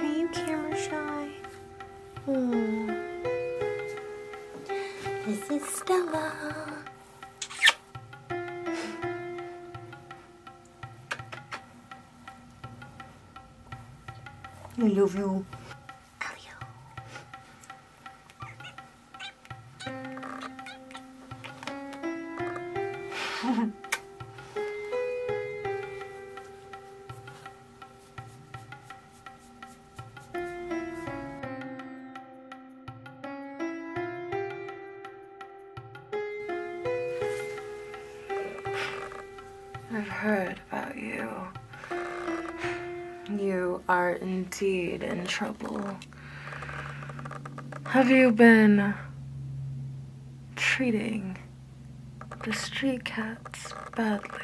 Are you camera shy? Hmm. This is Stella. I love you. I've heard about you. You are indeed in trouble. Have you been treating the street cats badly.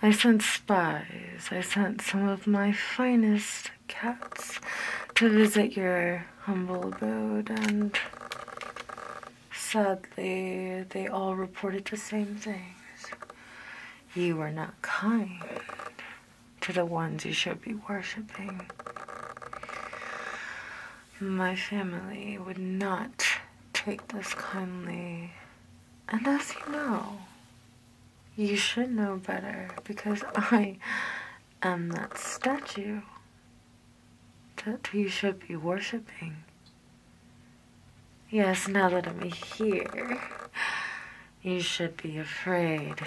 I sent spies, I sent some of my finest cats to visit your humble abode, and sadly, they all reported the same things. You were not kind to the ones you should be worshipping. My family would not take this kindly. And as you know, you should know better because I am that statue that you should be worshipping. Yes, now that I'm here, you should be afraid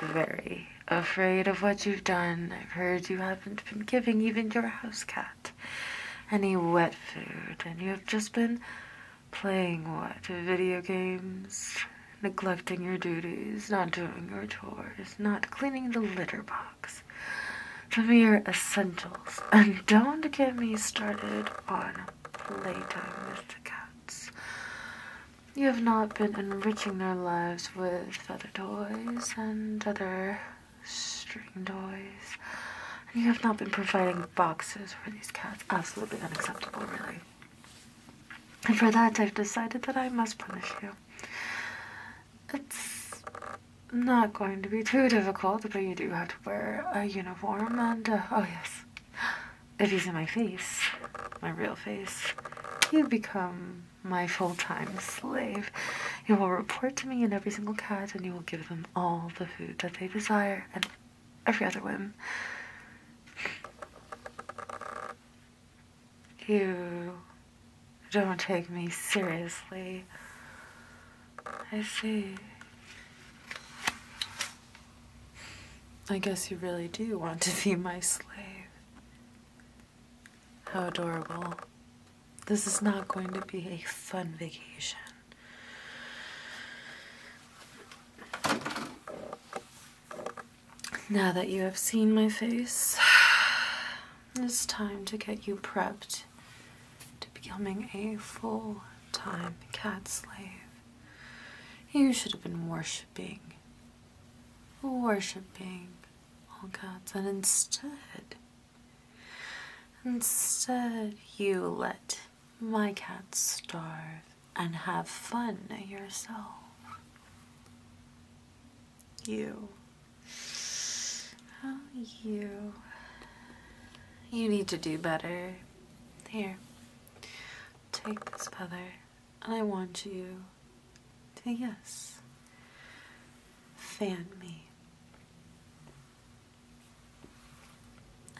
very afraid of what you've done. I've heard you haven't been giving even your house cat any wet food, and you have just been playing what? Video games, neglecting your duties, not doing your chores, not cleaning the litter box. The mere essentials. And don't get me started on playtime with the cats. You have not been enriching their lives with other toys and other string toys. you have not been providing boxes for these cats. Absolutely unacceptable, really. And for that, I've decided that I must punish you. It's not going to be too difficult, but you do have to wear a uniform and, uh, oh yes, if you see my face, my real face, you become my full-time slave. You will report to me in every single cat, and you will give them all the food that they desire and every other whim. You don't take me seriously. I see. I guess you really do want to be my slave. How adorable. This is not going to be a fun vacation. Now that you have seen my face, it's time to get you prepped to becoming a full-time cat slave. You should have been worshipping, worshipping all oh gods, and instead, instead, you let my cat starve and have fun yourself. You. Oh, you. You need to do better. Here, take this feather, and I want you to yes. Fan me.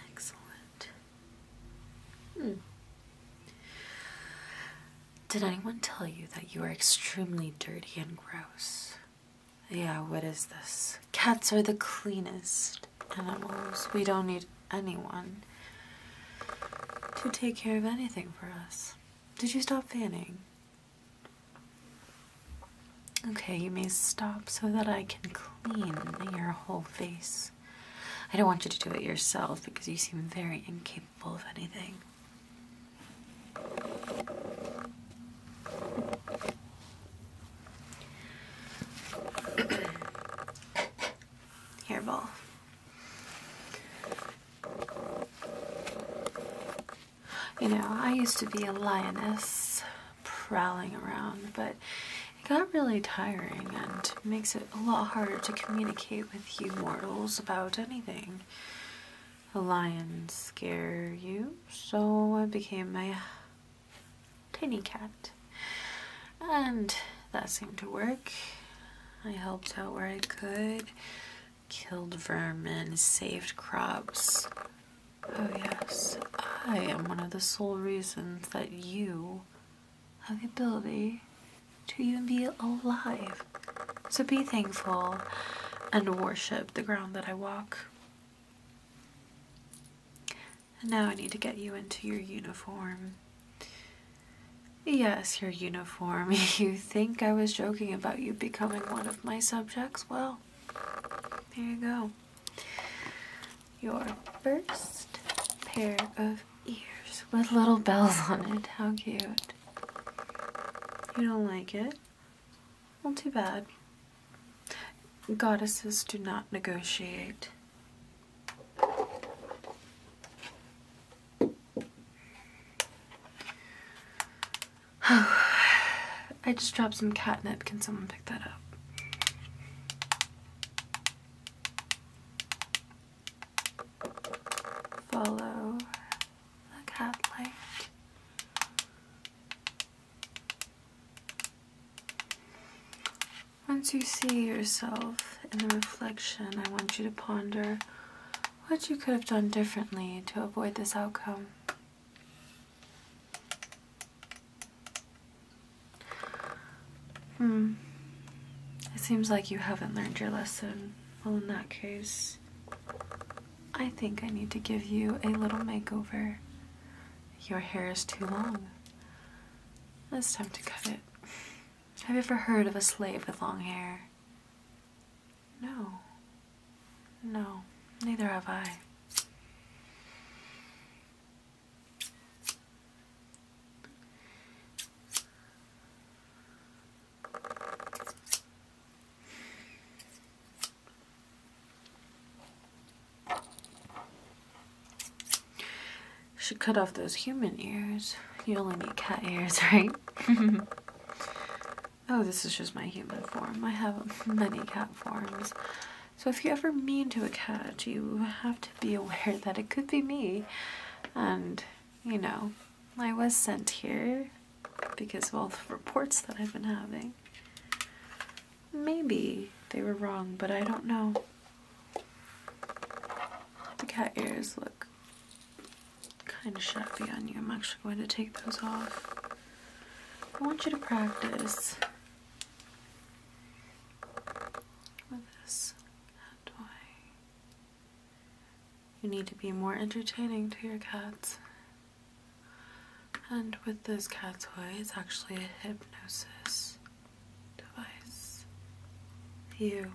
Excellent. Hmm. Did anyone tell you that you are extremely dirty and gross? Yeah, what is this? Cats are the cleanest animals. We don't need anyone to take care of anything for us. Did you stop fanning? Okay, you may stop so that I can clean your whole face. I don't want you to do it yourself because you seem very incapable of anything. Hairball. You know, I used to be a lioness prowling around, but it got really tiring and makes it a lot harder to communicate with you mortals about anything. The lions scare you, so I became my tiny cat. And that seemed to work. I helped out where I could. Killed vermin, saved crops. Oh, yes, I am one of the sole reasons that you have the ability to even be alive. So be thankful and worship the ground that I walk. And now I need to get you into your uniform. Yes, your uniform. you think I was joking about you becoming one of my subjects? Well, there you go. Your first pair of ears with little bells on it. How cute. You don't like it? Well, too bad. Goddesses do not negotiate. I just dropped some catnip. Can someone pick that up? Follow the cat once you see yourself in the reflection, I want you to ponder what you could have done differently to avoid this outcome. Hmm. It seems like you haven't learned your lesson. Well, in that case, I think I need to give you a little makeover. Your hair is too long. It's time to cut it. Have you ever heard of a slave with long hair? No. No, neither have I. Should cut off those human ears. You only need cat ears, right? oh, this is just my human form. I have many cat forms. So if you ever mean to a cat, you have to be aware that it could be me. And, you know, I was sent here because of all the reports that I've been having. Maybe they were wrong, but I don't know. The cat ears look kind of shabby on you. I'm actually going to take those off. I want you to practice with this. How do You need to be more entertaining to your cats. And with this cat toy, it's actually a hypnosis device, you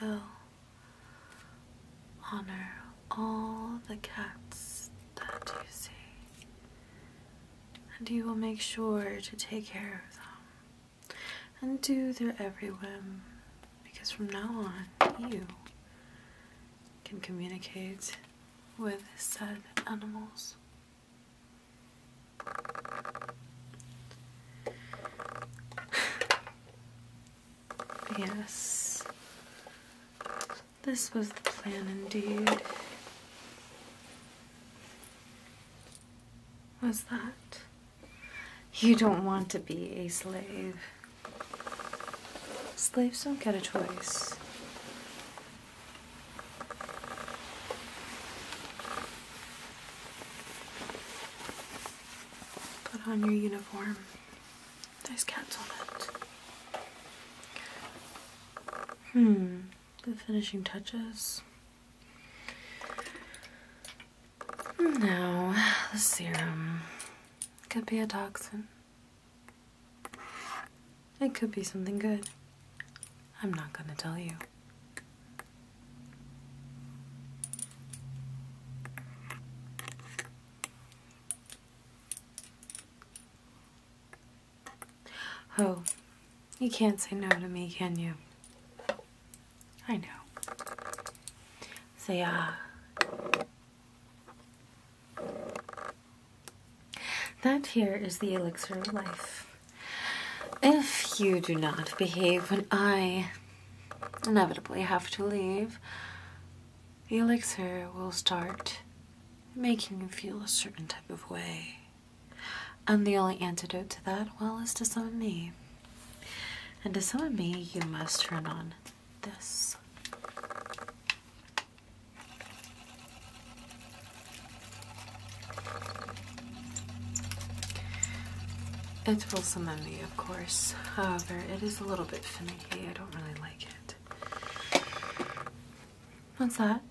will honor all the cats that you see, and you will make sure to take care of them and do their every whim because from now on you can communicate with said animals. yes, this was the plan indeed. Was that? You don't want to be a slave. Slaves don't get a choice. Put on your uniform. There's cats on it. Hmm, the finishing touches. No, the serum could be a toxin. It could be something good. I'm not going to tell you. Oh, you can't say no to me, can you? I know. Say ah. That here is the elixir of life. If you do not behave when I inevitably have to leave, elixir will start making you feel a certain type of way. And the only antidote to that, well, is to summon me. And to summon me, you must turn on this. It will summon me, of course. However, it is a little bit finicky. I don't really like it. What's that?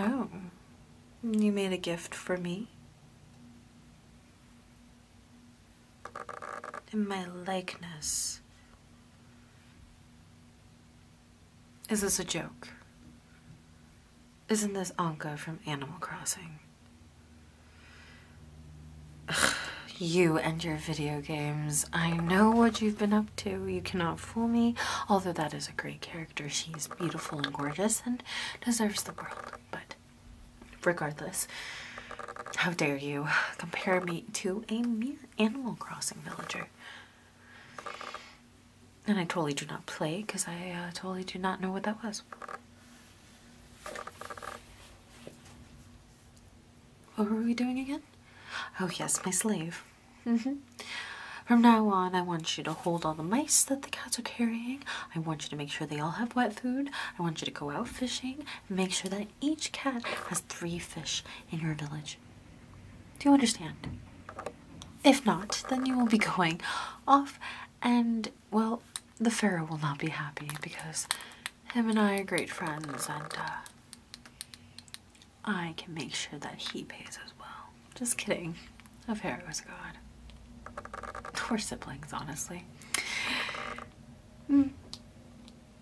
Oh. You made a gift for me? In my likeness. Is this a joke? Isn't this Anka from Animal Crossing? you and your video games. I know what you've been up to. You cannot fool me. Although that is a great character. She's beautiful and gorgeous and deserves the world. But regardless, how dare you compare me to a mere Animal Crossing villager? And I totally do not play because I uh, totally do not know what that was. What were we doing again? Oh, yes, my slave. Mm-hmm. From now on, I want you to hold all the mice that the cats are carrying. I want you to make sure they all have wet food. I want you to go out fishing and make sure that each cat has three fish in your village. Do you understand? If not, then you will be going off, and well, the Pharaoh will not be happy because him and I are great friends, and uh, I can make sure that he pays as well. Just kidding. The Pharaoh is God. We're siblings, honestly. Hmm.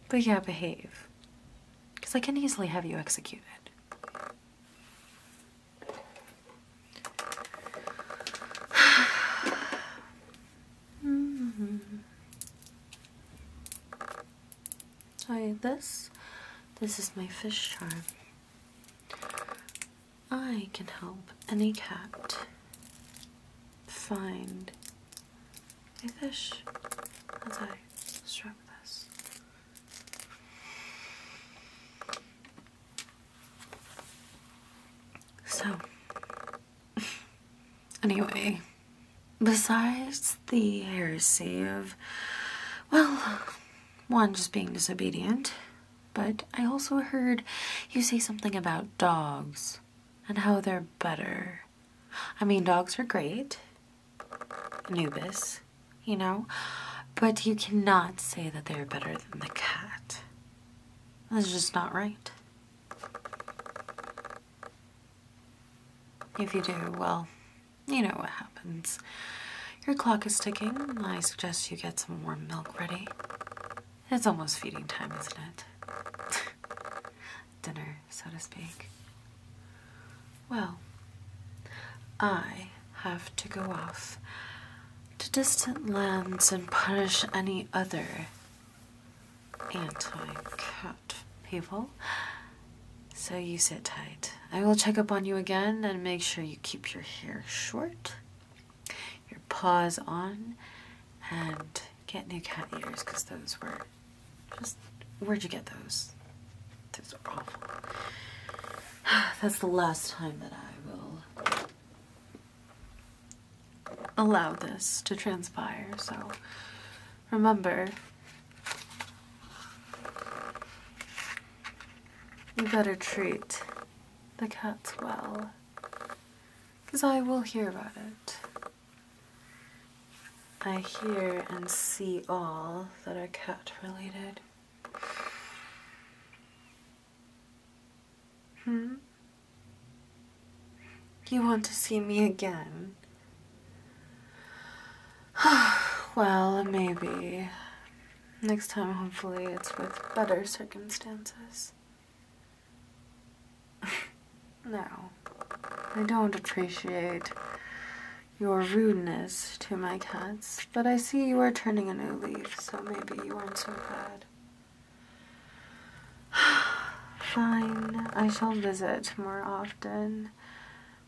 But yeah, behave. Because I can easily have you executed. -hmm. Sorry, this, this is my fish charm. I can help any cat find a fish as I stroke this. So, anyway, besides the heresy of, well, one, just being disobedient, but I also heard you say something about dogs and how they're better. I mean, dogs are great, Anubis, you know? But you cannot say that they're better than the cat. That's just not right. If you do, well, you know what happens. Your clock is ticking. I suggest you get some warm milk ready. It's almost feeding time, isn't it? dinner, so to speak. Well, I have to go off to distant lands and punish any other anti cat people. So you sit tight. I will check up on you again and make sure you keep your hair short, your paws on, and get new cat ears because those were just, where'd you get those? Those are awful. That's the last time that I will allow this to transpire, so remember, you better treat the cats well, because I will hear about it. I hear and see all that are cat related. Hmm? You want to see me again? well, maybe. Next time, hopefully, it's with better circumstances. No, I don't appreciate your rudeness to my cats, but I see you are turning a new leaf, so maybe you aren't so bad. Fine, I shall visit more often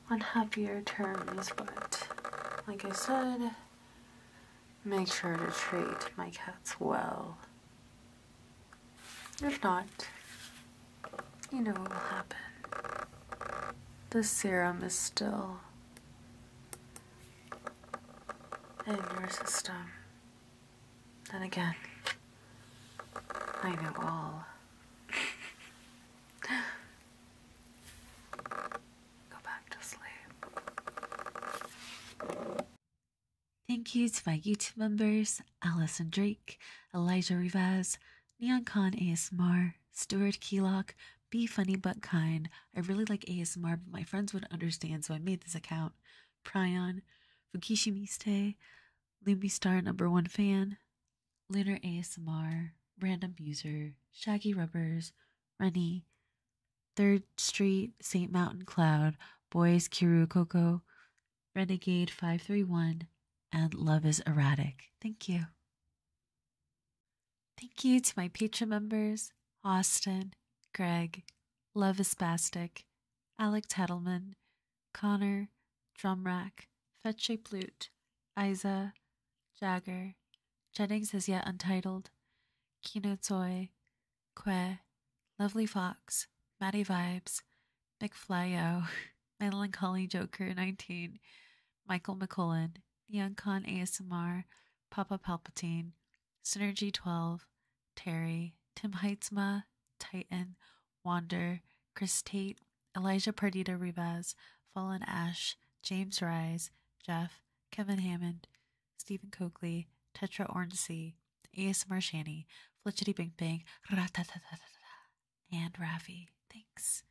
on happier terms, but like I said, make sure to treat my cats well. If not, you know what will happen. The serum is still in your system. Then again, I know all. Go back to sleep. Thank you to my YouTube members Alison Drake, Elijah Rivas, Neon Khan ASMR, Stuart Kellock, Be Funny But Kind. I really like ASMR, but my friends wouldn't understand, so I made this account. Pryon, Fukishi Miste, Star Number One Fan, Lunar ASMR, Random User, Shaggy Rubbers, Rennie, Third Street, St. Mountain Cloud, Boys Kiru Coco, Renegade 531, and Love is Erratic. Thank you. Thank you to my Patreon members Austin, Greg, Love is Spastic, Alec Tettelman, Connor, Drumrack, Fetche Plute, Isa, Jagger, Jennings is yet untitled, Kino Tsoi, Que, Lovely Fox, Maddie Vibes, McFlyo, Melancholy Joker 19, Michael McCullen, Neon Con ASMR, Papa Palpatine, Synergy 12, Terry, Tim Heitzma, Titan, Wander, Chris Tate, Elijah Pardita Rivas, Fallen Ash, James Rise, Jeff, Kevin Hammond, Stephen Coakley, Tetra Ornsey, ASMR Shanny, Flitchity Bing Bang, and Ravi. Thanks.